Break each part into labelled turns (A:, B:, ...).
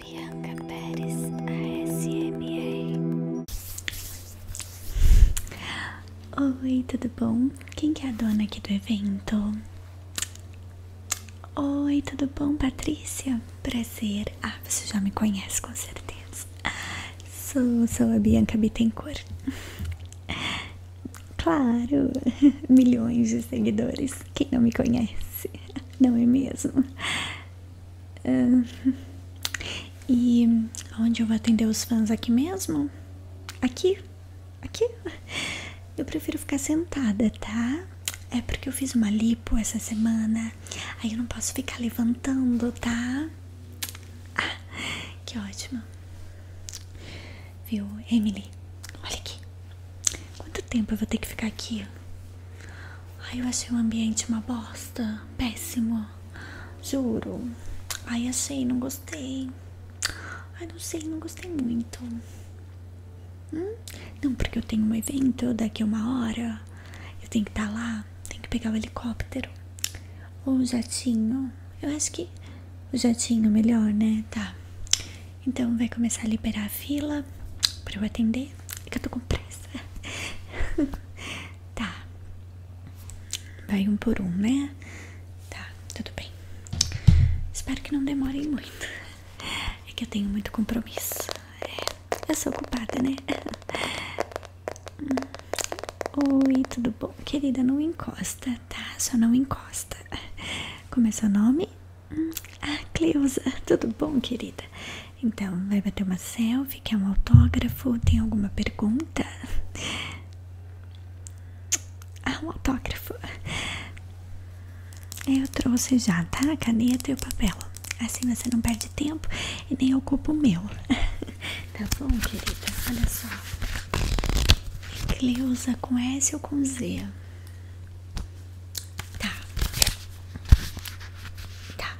A: Bianca Pérez ASMR Oi, tudo bom? Quem que é a dona aqui do evento? Oi, tudo bom, Patrícia? Prazer. Ah, você já me conhece com certeza. Sou, sou a Bianca Bittencourt. Claro, milhões de seguidores. Quem não me conhece? não é mesmo? Ah, e onde eu vou atender os fãs aqui mesmo? Aqui? Aqui? Eu prefiro ficar sentada, tá? É porque eu fiz uma lipo essa semana, aí eu não posso ficar levantando, tá? Ah, que ótimo. Viu, Emily? Olha aqui. Quanto tempo eu vou ter que ficar aqui? Ai, eu achei o ambiente uma bosta. Péssimo. Juro. Ai, achei, não gostei. Ai, não sei, não gostei muito. Hum? Não, porque eu tenho um evento daqui a uma hora. Eu tenho que estar tá lá. Tenho que pegar o helicóptero. Ou o jatinho. Eu acho que o jatinho é melhor, né? Tá. Então vai começar a liberar a fila para eu atender. É que eu tô com pressa. tá. Vai um por um, né? Tá, tudo bem. Espero que não demore muito. É que eu tenho muito compromisso. É, eu sou ocupada, né? Oi, tudo bom? Querida, não encosta, tá? Só não encosta. Como é seu nome? Ah, Cleusa, tudo bom, querida? Então, vai bater uma selfie, quer um autógrafo? Tem alguma pergunta? Ah, um autógrafo. Eu trouxe já, tá? A caneta e o papel. Assim você não perde tempo e nem ocupa o meu. tá bom, querida? Olha só. Cleusa com S ou com Z? Tá. Tá.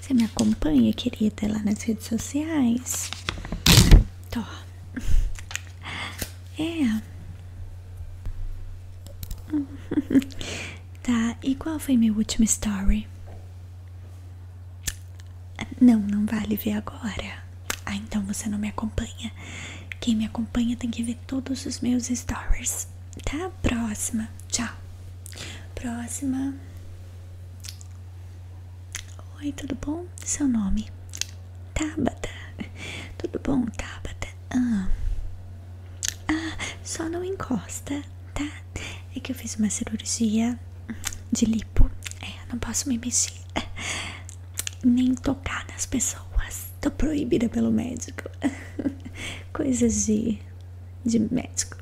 A: Você me acompanha, querida, lá nas redes sociais? Tô. É. Tá, e qual foi meu último story? Não, não vale ver agora. Ah, então você não me acompanha. Quem me acompanha tem que ver todos os meus stories. Tá? Próxima. Tchau. Próxima. Oi, tudo bom? Seu nome? Tabata. Tudo bom, Tabata? Ah, ah, só não encosta, tá? É que eu fiz uma cirurgia de lipo. É, não posso me mexer. Nem tocar nas pessoas. Tô proibida pelo médico. Coisas de, de médico.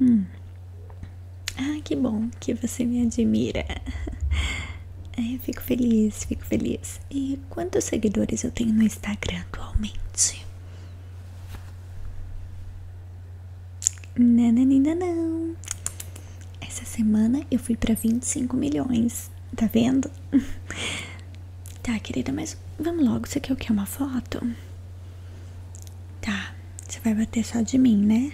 A: Hum. Ah, que bom que você me admira. É, fico feliz, fico feliz. E quantos seguidores eu tenho no Instagram atualmente? Nananina não. Essa semana eu fui para 25 milhões. Tá vendo? tá, querida, mas vamos logo. Você quer o que? Uma foto? Tá. Você vai bater só de mim, né?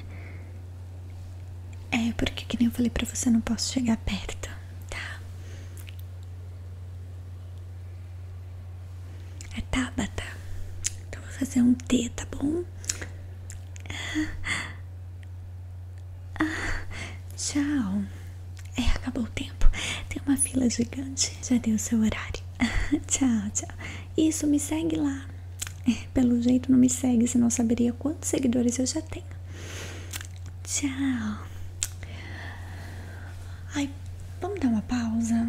A: É, porque que nem eu falei pra você, eu não posso chegar perto. Tá. É Tabata. Então vou fazer um T, tá bom? tchau. É, acabou o tempo. Tem uma fila gigante. Já deu seu horário. tchau, tchau. Isso, me segue lá. É, pelo jeito não me segue, senão saberia quantos seguidores eu já tenho. Tchau. Ai, vamos dar uma pausa?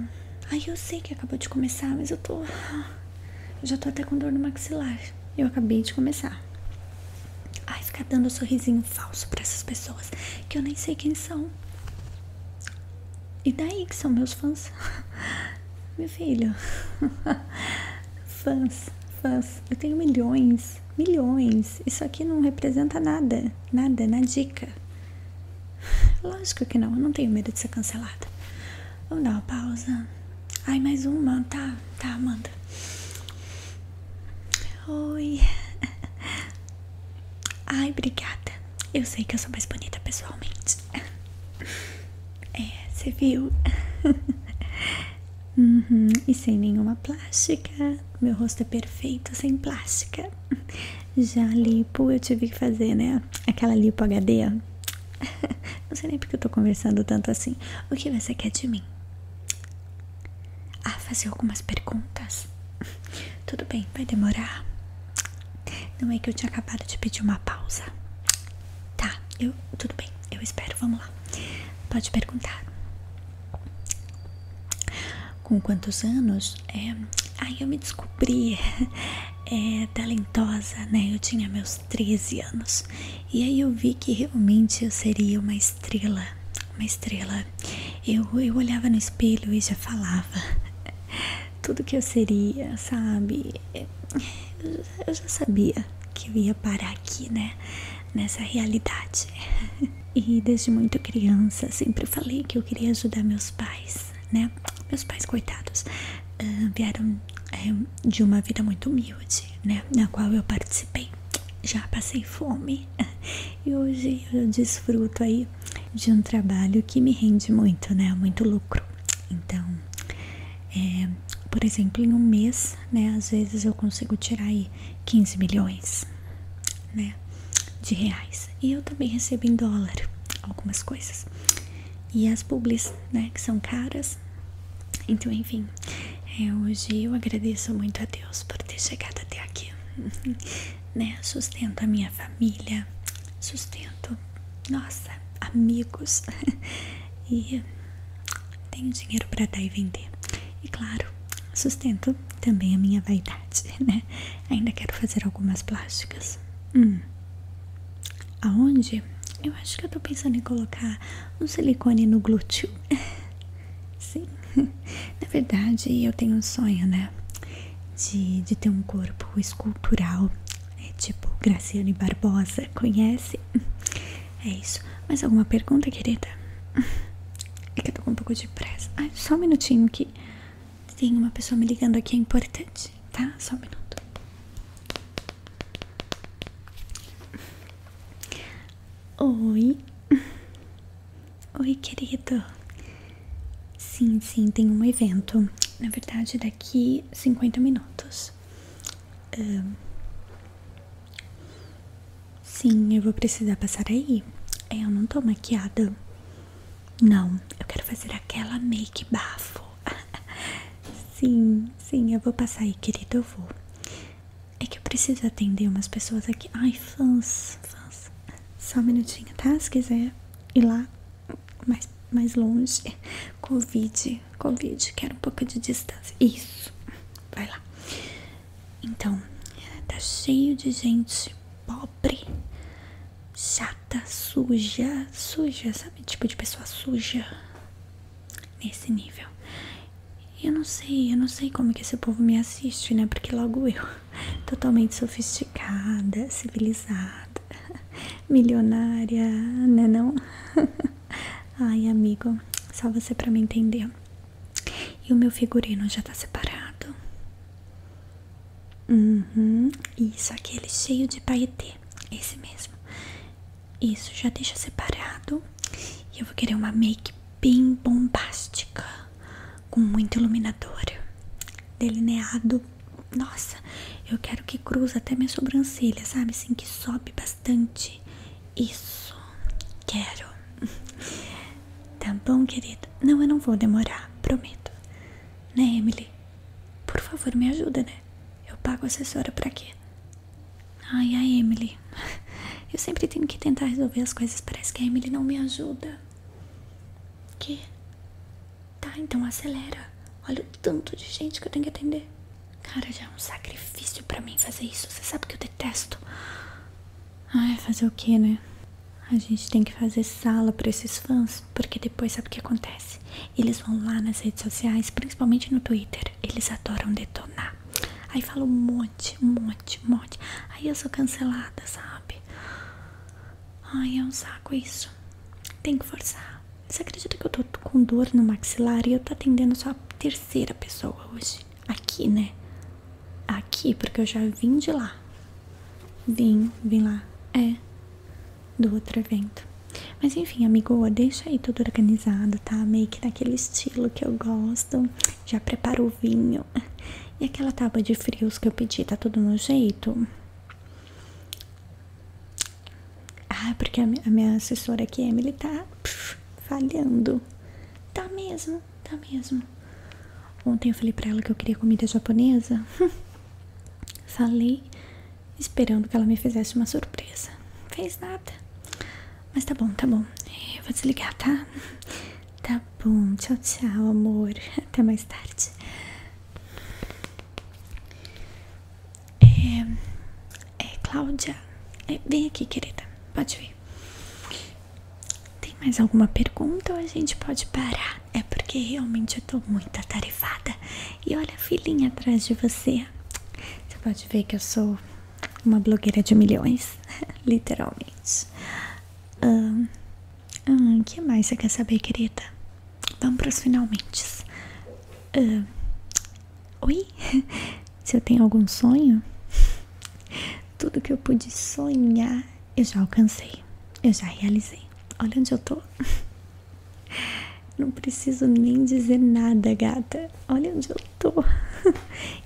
A: Ai, eu sei que acabou de começar, mas eu tô. Eu já tô até com dor no maxilar. Eu acabei de começar. Ai, ficar dando um sorrisinho falso pra essas pessoas que eu nem sei quem são. E daí que são meus fãs? Meu filho. Fãs, fãs. Eu tenho milhões milhões, Isso aqui não representa nada, nada, na dica. Lógico que não, eu não tenho medo de ser cancelada. Vamos dar uma pausa. Ai, mais uma, tá? Tá, manda. Oi. Ai, obrigada. Eu sei que eu sou mais bonita pessoalmente. É, você viu? Uhum, e sem nenhuma plástica. Meu rosto é perfeito sem plástica. Já lipo, eu tive que fazer, né? Aquela lipo HD. Não sei nem porque eu tô conversando tanto assim. O que você quer de mim? Ah, fazer algumas perguntas. Tudo bem, vai demorar. Não é que eu tinha acabado de pedir uma pausa. Tá, eu tudo bem, eu espero, vamos lá. Pode perguntar. Com quantos anos? É, aí eu me descobri é talentosa, né? Eu tinha meus 13 anos. E aí eu vi que realmente eu seria uma estrela. Uma estrela. Eu, eu olhava no espelho e já falava. Tudo que eu seria, sabe? Eu já sabia que eu ia parar aqui, né? nessa realidade. E desde muito criança sempre falei que eu queria ajudar meus pais, né? Meus pais, coitados, ah, vieram eh, de uma vida muito humilde, né? Na qual eu participei. Já passei fome e hoje eu desfruto aí de um trabalho que me rende muito, né? Muito lucro. Então, eh, por exemplo, em um mês, né? Às vezes eu consigo tirar aí 15 milhões, né, de reais. E eu também recebo em dólar algumas coisas. E as publis, né, Que são caras. Então, enfim, é, hoje eu agradeço muito a Deus por ter chegado até aqui. né? Sustento a minha família, sustento, nossa, amigos. e tenho dinheiro para dar e vender. E claro, sustento também a minha vaidade, né? Ainda quero fazer algumas plásticas. Hum. Aonde? Eu acho que eu tô pensando em colocar um silicone no glúteo. Sim. Na verdade, eu tenho um sonho, né? De, de ter um corpo escultural. É tipo Graciane Barbosa, conhece? É isso. Mais alguma pergunta, querida? É que eu tô com um pouco de pressa. Ai, só um minutinho que tem uma pessoa me ligando aqui, é importante, tá? Só um minuto. Oi. Oi, querido. Sim, sim, tem um evento. Na verdade, daqui 50 minutos. Um, Sim, eu vou precisar passar aí. É, eu não tô maquiada. Não, eu quero fazer aquela make bafo. sim, sim, eu vou passar aí, querido, eu vou. É que eu preciso atender umas pessoas aqui. Ai, fãs, fãs. Só um minutinho, tá? Se quiser ir lá mais, mais longe. Covid, Covid, quero um pouco de distância. Isso, vai lá. Então, tá cheio de gente pobre, chata, suja, suja, sabe? Tipo de pessoa suja nesse nível. Eu não sei, eu não sei como que esse povo me assiste, né? Porque logo eu, totalmente sofisticada, civilizada, milionária, né não? Ai, amigo, só você pra me entender. E o meu figurino já tá separado. Uhum. Isso, aquele cheio de paetê. Esse mesmo. Isso, já deixa separado. E eu vou querer uma make bem bombástica. Com muito iluminador. Delineado. Nossa, eu quero que cruza até minha sobrancelha, sabe? Assim, que sobe bastante. Isso, quero. Tá bom, querida Não, eu não vou demorar, prometo. Né, Emily? Por favor, me ajuda, né? Eu pago assessora pra quê? Ai, a Emily. Eu sempre tenho que tentar resolver as coisas, parece que a Emily não me ajuda. Que? Tá, então acelera. Olha o tanto de gente que eu tenho que atender. Cara, já é um sacrifício pra mim fazer isso. Você sabe que eu detesto. Ai, fazer o que, né? A gente tem que fazer sala para esses fãs, porque depois sabe o que acontece? Eles vão lá nas redes sociais, principalmente no Twitter, eles adoram detonar. Aí fala um monte, um monte, um monte. Aí eu sou cancelada, sabe? Ai, é um saco isso. Tem que forçar. Você acredita que eu tô com dor no maxilar e eu tô atendendo só a terceira pessoa hoje? Aqui, né? aqui, porque eu já vim de lá. Vim, vim lá. É, do outro evento. Mas enfim, amigo, deixa aí tudo organizado, tá? make que naquele estilo que eu gosto. Já preparo o vinho. E aquela tábua de frios que eu pedi, tá tudo no jeito? Ah, porque a minha assessora aqui, Emily, tá pff, falhando. Tá mesmo, tá mesmo. Ontem eu falei pra ela que eu queria comida japonesa. falei esperando que ela me fizesse uma surpresa. Não fez nada. Mas tá bom, tá bom. Eh, vou desligar, tá? Tá bom. Tchau, tchau, amor. Até mais tarde. É, é Cláudia. É, vem aqui, querida. Pode vir. Tem mais alguma pergunta ou a gente pode parar? É porque realmente eu tô muito atarefada. E olha a filhinha atrás de você. Você pode ver que eu sou uma blogueira de milhões, literalmente. Hum, que mais você quer saber, querida? Vamos pros finalmente. Hum, Oi? Se eu tenho algum sonho? Tudo que eu pude sonhar, eu já alcancei. Eu já realizei. Olha onde eu tô. Não preciso nem dizer nada, gata. Olha onde eu tô.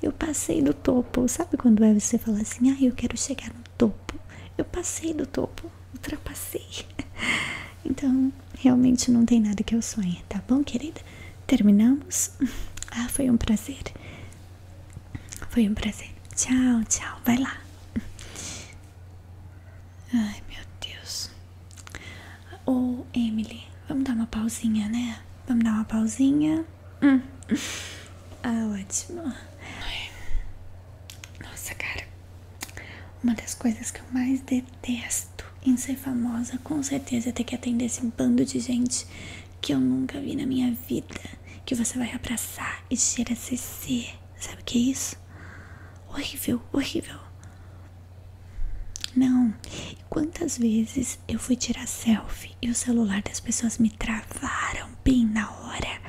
A: Eu passei do topo. Sabe quando é você fala assim, ah, eu quero chegar no topo? Eu passei do topo, ultrapassei. Então, realmente não tem nada que eu sonhe, tá bom, querida? Terminamos? Ah, foi um prazer. Foi um prazer. Tchau, tchau. Vai lá. Ai, meu Deus. Ô, Emily, vamos dar uma pausinha, né? Vamos dar uma pausinha. Hum. Ah, ótimo. Nossa, cara. Uma das coisas que eu mais detesto em ser famosa, com certeza ter que atender esse bando de gente que eu nunca vi na minha vida, que você vai abraçar e cheira a CC. Sabe o que é isso? Horrível, horrível. Não, quantas vezes eu fui tirar selfie e o celular das pessoas me travaram bem na hora,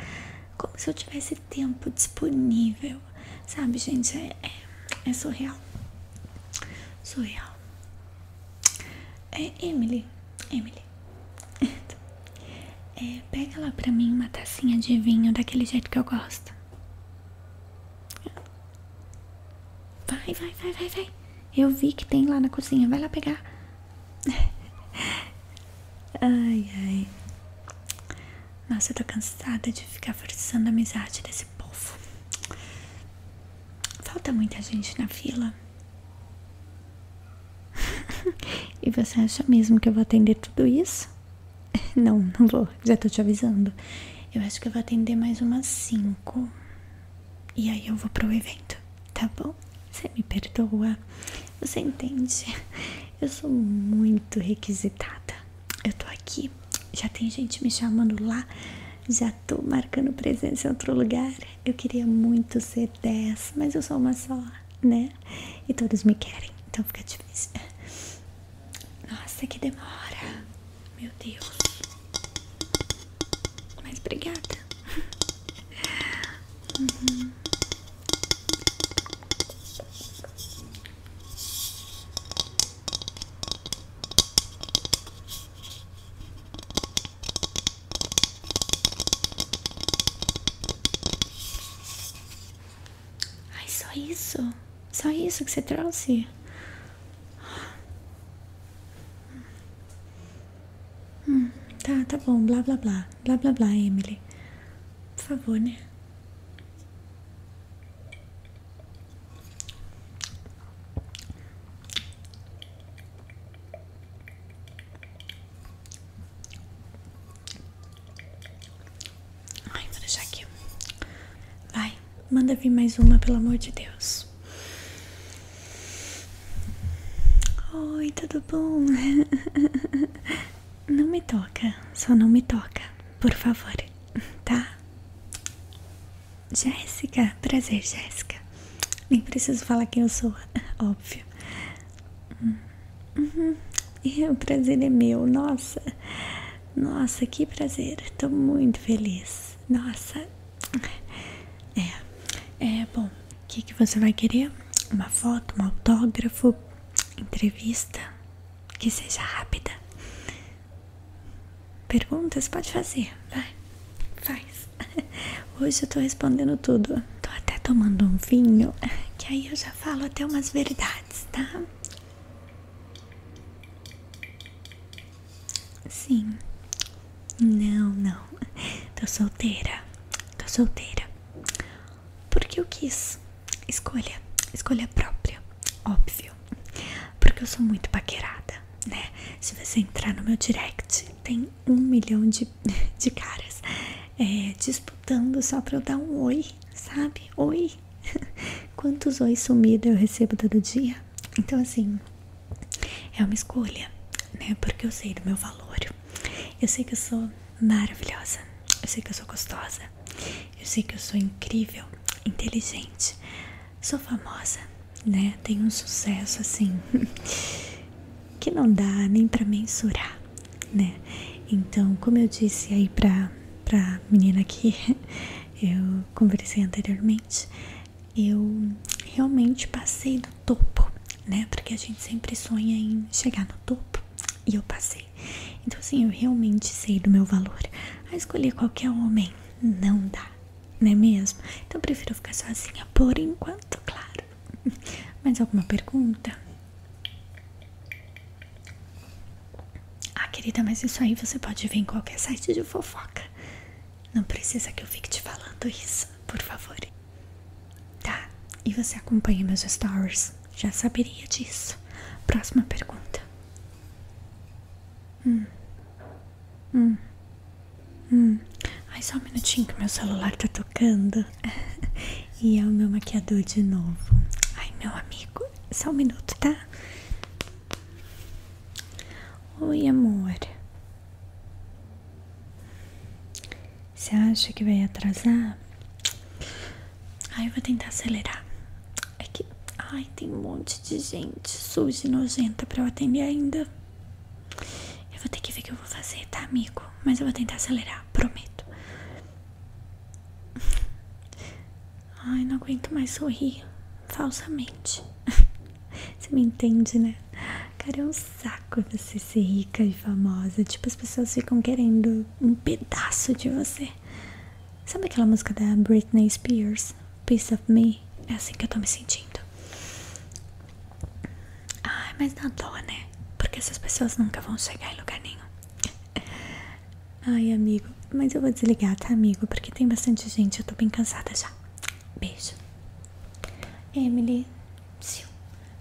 A: como se eu tivesse tempo disponível, sabe, gente? É, é, é surreal, surreal. É Emily, Emily. É, pega lá pra mim uma tacinha de vinho daquele jeito que eu gosto. Vai, vai, vai, vai, vai. Eu vi que tem lá na cozinha. Vai lá pegar. Ai, ai. Nossa, eu tô cansada de ficar forçando a amizade desse povo. Falta muita gente na fila. e você acha mesmo que eu vou atender tudo isso? Não, não vou, já tô te avisando. Eu acho que eu vou atender mais umas 5. E aí eu vou pro evento, tá bom? Você me perdoa. Você entende? Eu sou muito requisitada. Eu tô aqui já tem gente me chamando lá, já tô marcando presença em outro lugar. Eu queria muito ser 10, mas eu sou uma só, né? E todos me querem, então fica difícil. Nossa, que demora! Meu Deus! Mas obrigada! Uhum. Ai, só isso? Só isso que você trouxe? Hum, tá, tá bom, blá blá blá, blá blá blá, Emily. Por favor, né? Ai, vou deixar aqui. Vai, manda vir mais uma, pelo amor de Deus. Oi, tudo bom? Não me toca, só não me toca, por favor, tá? Jéssica, prazer, Jéssica. Nem preciso falar quem eu sou, óbvio. Uhum. O prazer é meu, nossa. Nossa, que prazer. Tô muito feliz. Nossa. É, é bom. O que, que você vai querer? Uma foto, um autógrafo, entrevista? Que seja rápida. Perguntas pode fazer, vai, faz. Hoje eu tô respondendo tudo. Tô até tomando um vinho, que aí eu já falo até umas verdades, tá? Sim. Não, não. Tô solteira. Tô solteira. Porque eu quis. Escolha. Escolha própria. Óbvio porque eu sou muito paquerada, né? Se você entrar no meu direct, tem um milhão de, de caras é, disputando só pra eu dar um oi, sabe? Oi! Quantos ois sumidos eu recebo todo dia? Então, assim, é uma escolha, né? Porque eu sei do meu valor, eu sei que eu sou maravilhosa, eu sei que eu sou gostosa, eu sei que eu sou incrível, inteligente sou famosa, né? Tenho um sucesso assim que não dá nem para mensurar, né? Então, como eu disse aí para para menina aqui, eu conversei anteriormente, eu realmente passei do topo, né? Porque a gente sempre sonha em chegar no topo e eu passei. Então, assim, eu realmente sei do meu valor. A ah, escolher qualquer homem não dá, não é mesmo? Então prefiro ficar sozinha por enquanto, claro. Mais alguma pergunta? Ah, querida, mas isso aí você pode ver em qualquer site de fofoca. Não precisa que eu fique te falando isso, por favor. Tá, e você acompanha meus stories? Já saberia disso. Próxima pergunta. Hum. Hum. Hum. Ai, só um minutinho que meu celular tá tocando. e é o meu maquiador de novo. Ai, meu amigo. Só um minuto, tá? Oi, amor. Você acha que vai atrasar? aí eu vou tentar acelerar. É que. Ai, tem um monte de gente suja nojenta pra eu atender ainda. Eu vou ter que ver o que eu vou fazer, tá, amigo? Mas eu vou tentar acelerar, prometo. Ai, não aguento mais sorrir. Falsamente. Você me entende, né? Cara, é um saco você ser rica e famosa. Tipo, as pessoas ficam querendo um pedaço de você. Sabe aquela música da Britney Spears? Piece of Me? É assim que eu tô me sentindo. Ai, mas não toa, né? Porque essas pessoas nunca vão chegar em lugar nenhum. Ai, amigo. Mas eu vou desligar, tá, amigo? Porque tem bastante gente. Eu tô bem cansada já. Beijo. Emily,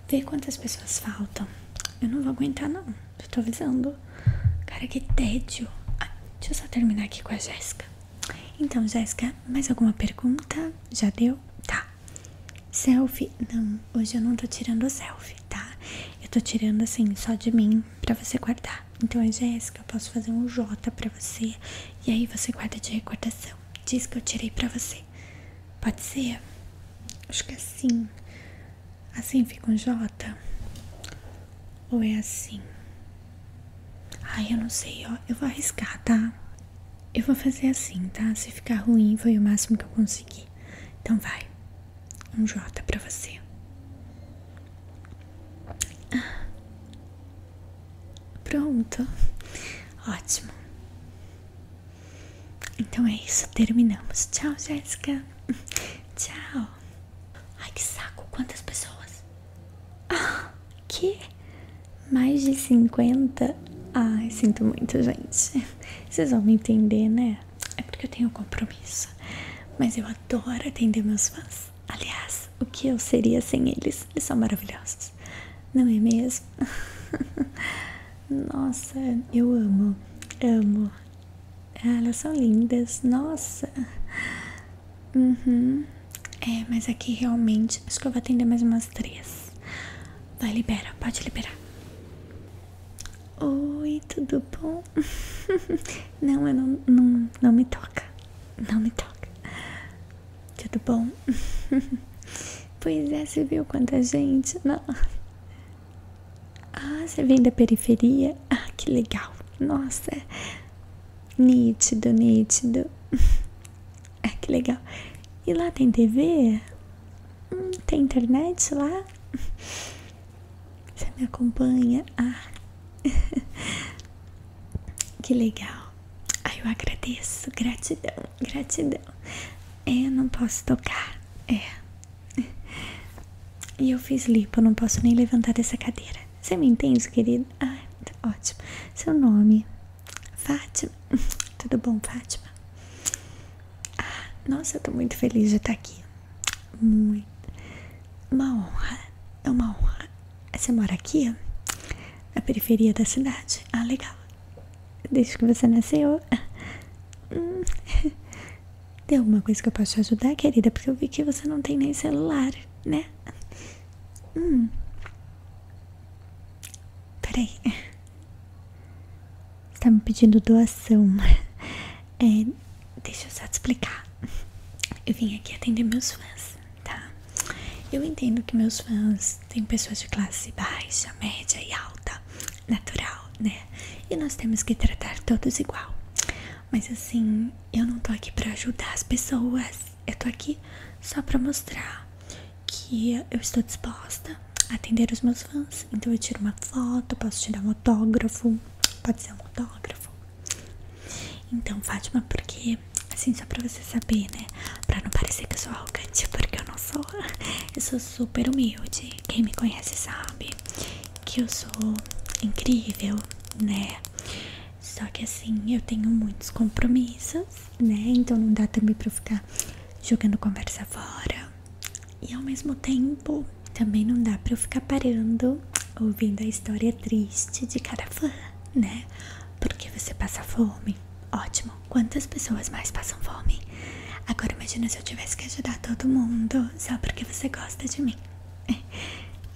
A: vê quantas pessoas faltam. Eu não vou aguentar, não. Já tô avisando. Cara, que tédio. Ah, deixa eu só terminar aqui com a Jéssica. Então, Jéssica, mais alguma pergunta? Já deu? Tá. Selfie? Não, hoje eu não tô tirando selfie, tá? Eu tô tirando assim, só de mim, pra você guardar. Então, a Jéssica, eu posso fazer um J pra você. E aí você guarda de recordação. Diz que eu tirei pra você. Pode ser? Acho que é assim. Assim fica um J? Ou é assim? Ai, eu não sei, ó. Eu vou arriscar, tá? Eu vou fazer assim, tá? Se ficar ruim, foi o máximo que eu consegui. Então vai. Um J pra você. Pronto. Ótimo. Então é isso. Terminamos. Tchau, Jéssica. Tchau. Ai que saco, quantas pessoas? Ah, que? Mais de 50? Ai, sinto muito, gente. Vocês vão me entender, né? É porque eu tenho compromisso. Mas eu adoro atender meus fãs. Aliás, o que eu seria sem eles? Eles são maravilhosos, não é mesmo? Nossa, eu amo, amo ah, elas são lindas, nossa. Uhum. É, mas aqui realmente acho que eu vou atender mais umas três. Vai, libera, pode liberar. Oi, tudo bom? não, não, não, me toca. Não me toca. Tudo bom? pois é, você viu quanta gente? Não. Ah, você vem da periferia? Ah, que legal! Nossa, é nítido, nítido. Ah, que legal! E lá tem TV? Hum, tem internet lá? Você me acompanha? Ah, que legal! Ah, eu agradeço, gratidão, gratidão. É, não posso tocar. É, E eu fiz lipo, não posso nem levantar essa cadeira. Você me entende, querido? Tá ótimo. Seu nome? Fátima. Tudo bom, Fátima? Ah, nossa, eu tô muito feliz de estar aqui. Muito. Uma honra. É uma honra. Você mora aqui? Na periferia da cidade? Ah, legal. Desde que você nasceu. Hum. Tem alguma coisa que eu possa ajudar, querida? Porque eu vi que você não tem nem celular, né? Hum. Peraí. tá me pedindo doação. É, deixa eu só te explicar. Eu vim aqui atender meus fãs, tá? Eu entendo que meus fãs têm pessoas de classe baixa, média e alta, natural, né? E nós temos que tratar todos igual. Mas assim, eu não tô aqui pra ajudar as pessoas. Eu tô aqui só pra mostrar que eu estou disposta a atender os meus fãs. Então eu tiro uma foto, posso tirar um autógrafo. Pode ser um autógrafo. Então, Fátima, porque assim, só pra você saber, né? Pra não parecer que eu sou arrogante, porque eu não sou. Eu sou super humilde. Quem me conhece sabe que eu sou incrível, né? Só que assim, eu tenho muitos compromissos, né? Então não dá também para eu ficar jogando conversa fora. E ao mesmo tempo, também não dá para eu ficar parando ouvindo a história triste de cada fã, né? Porque você passa fome. Ótimo. Quantas pessoas mais passam fome? Agora imagine se eu tivesse que ajudar todo mundo só porque você gosta de mim.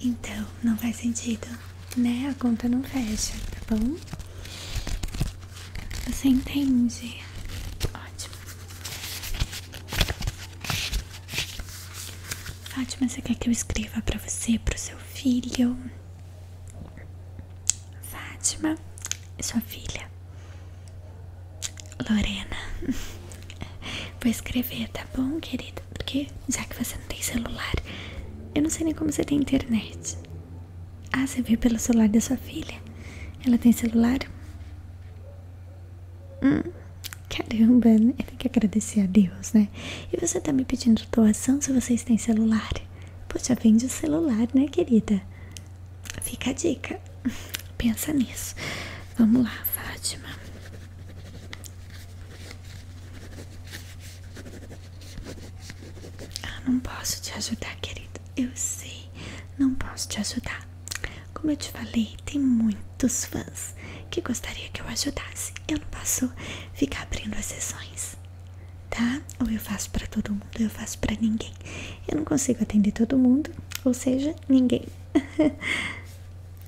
A: Então, não faz sentido, né? A conta não fecha, tá bom? Você entende? Ótimo. Fátima, você quer que eu escreva pra você, pro seu filho? Fátima, sua filha. Lorena, vou escrever, tá bom, querida? Porque já que você não tem celular, eu não sei nem como você tem internet. Ah, você viu pelo celular da sua filha? Ela tem celular? Hum, caramba, né? tem que agradecer a Deus, né? E você tá me pedindo doação se vocês têm celular? Poxa, vende o celular, né, querida? Fica a dica. Pensa nisso. Vamos lá, Fátima. Ah, não posso te ajudar, querida. Eu sei, não posso te ajudar. Como eu te falei, tem muitos fãs que gostaria que eu ajudasse. Eu não posso ficar abrindo as sessões, tá? Ou eu faço para todo mundo, ou eu faço para ninguém. Eu não consigo atender todo mundo, ou seja, ninguém.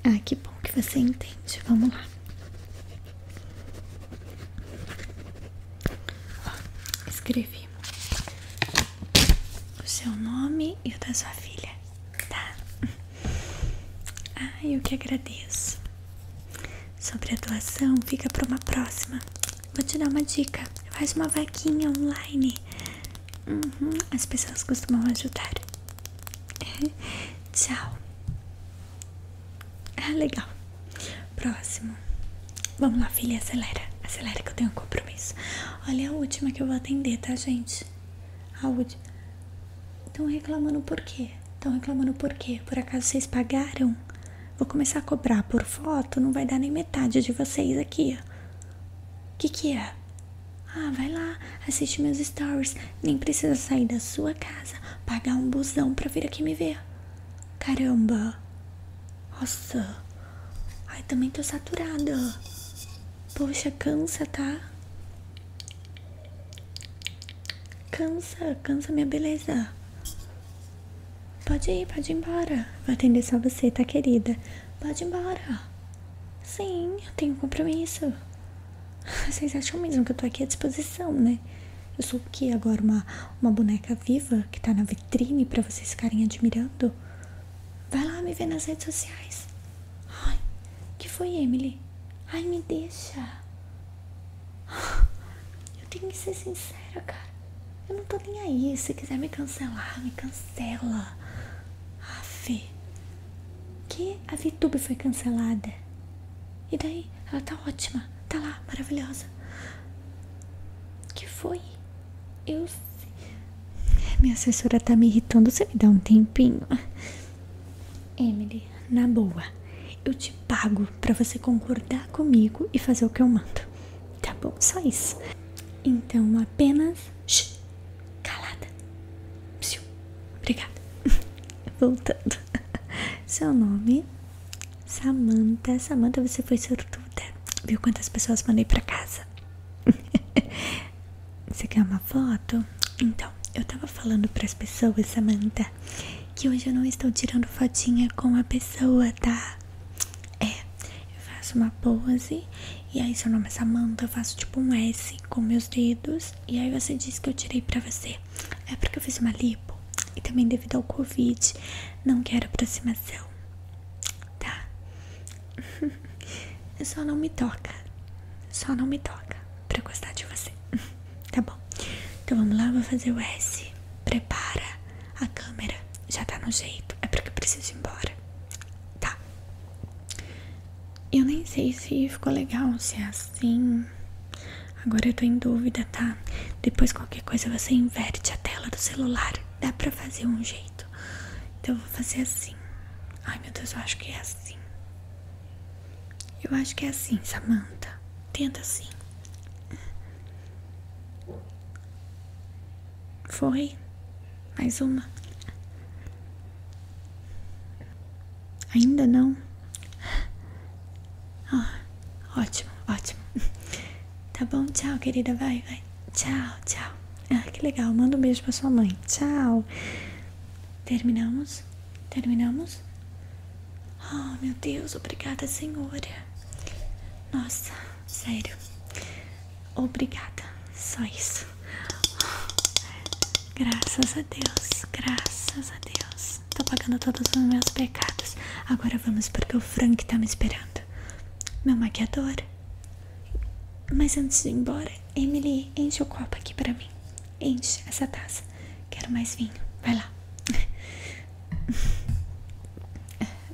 A: ah, que bom que você entende. Vamos lá. Ó, escrevi o seu nome e o da sua filha, tá? Ah, eu que agradeço. Sobre a doação, fica para uma próxima. Vou te dar uma dica. Faz uma vaquinha online Uhum. as pessoas costumam ajudar. Tchau. Ah, legal. Próximo. Vamos lá, filha, acelera. Acelera que eu tenho um compromisso. Olha a última que eu vou atender, tá, gente? A última. Estão reclamando por quê? Estão reclamando por quê? Por acaso vocês pagaram? Vou começar a cobrar por foto, não vai dar nem metade de vocês aqui. O que, que é? Ah, vai lá, assiste meus stories. Nem precisa sair da sua casa, pagar um busão pra vir aqui me ver. Caramba. Nossa. Ai, também tô saturada. Poxa, cansa, tá? Cansa, cansa minha beleza. Pode ir, pode ir embora. Vou atender só você, tá, querida? Pode ir embora. Sim, eu tenho compromisso. Vocês acham mesmo que eu tô aqui à disposição, né? Eu sou o que agora? Uma, uma boneca viva que tá na vitrine para vocês ficarem admirando? Vai lá me ver nas redes sociais. Ai, que foi, Emily? Ai, me deixa. Eu tenho que ser sincera, cara. Eu não tô nem aí. Se quiser me cancelar, me cancela. Aff. Que a VTube foi cancelada. E daí? Ela tá ótima. Tá lá, maravilhosa. Que foi? Eu. Minha assessora tá me irritando. Você me dá um tempinho. Emily, na boa. Eu te pago pra você concordar comigo e fazer o que eu mando. Tá bom? Só isso. Então apenas. calada. Obrigada. Voltando. Seu nome? Samantha. Samantha, você foi sortuda. Viu quantas pessoas mandei pra casa? Você quer uma foto? Então, eu tava falando pras pessoas, Samantha, que hoje eu não estou tirando fotinha com a pessoa, tá? É, eu faço uma pose e aí seu nome é Samanta, eu faço tipo um S com meus dedos e aí você disse que eu tirei pra você. É porque eu fiz uma lipo e também devido ao Covid não quero aproximação, tá? Só não me toca, só não me toca pra gostar de você, tá bom? Então vamos lá, vou fazer o S. Prepara a câmera, já tá no jeito, é porque eu preciso ir embora. Tá. Eu nem sei se ficou legal, se é assim. Agora eu tô em dúvida, tá? Depois qualquer coisa você inverte a tela do celular. Dá pra fazer um jeito. Então eu vou fazer assim. Ai meu Deus, eu acho que é assim. Eu acho que é assim, Samantha. Tenta assim. Foi. Mais uma. Ainda não? Oh, ótimo, ótimo. Tá bom, tchau, querida. Vai, vai. Tchau, tchau. Ah, que legal. Manda um beijo para sua mãe. Tchau. Terminamos? Terminamos? Oh, meu Deus, obrigada, Senhora. Nossa. Sério. Obrigada. Só isso. Graças a Deus. Graças a Deus. Tô pagando todos os meus pecados. Agora vamos porque o Frank tá me esperando. Meu maquiador. Mas antes de ir embora, Emily, enche o copo aqui pra mim. Enche essa taça. Quero mais vinho. Vai lá.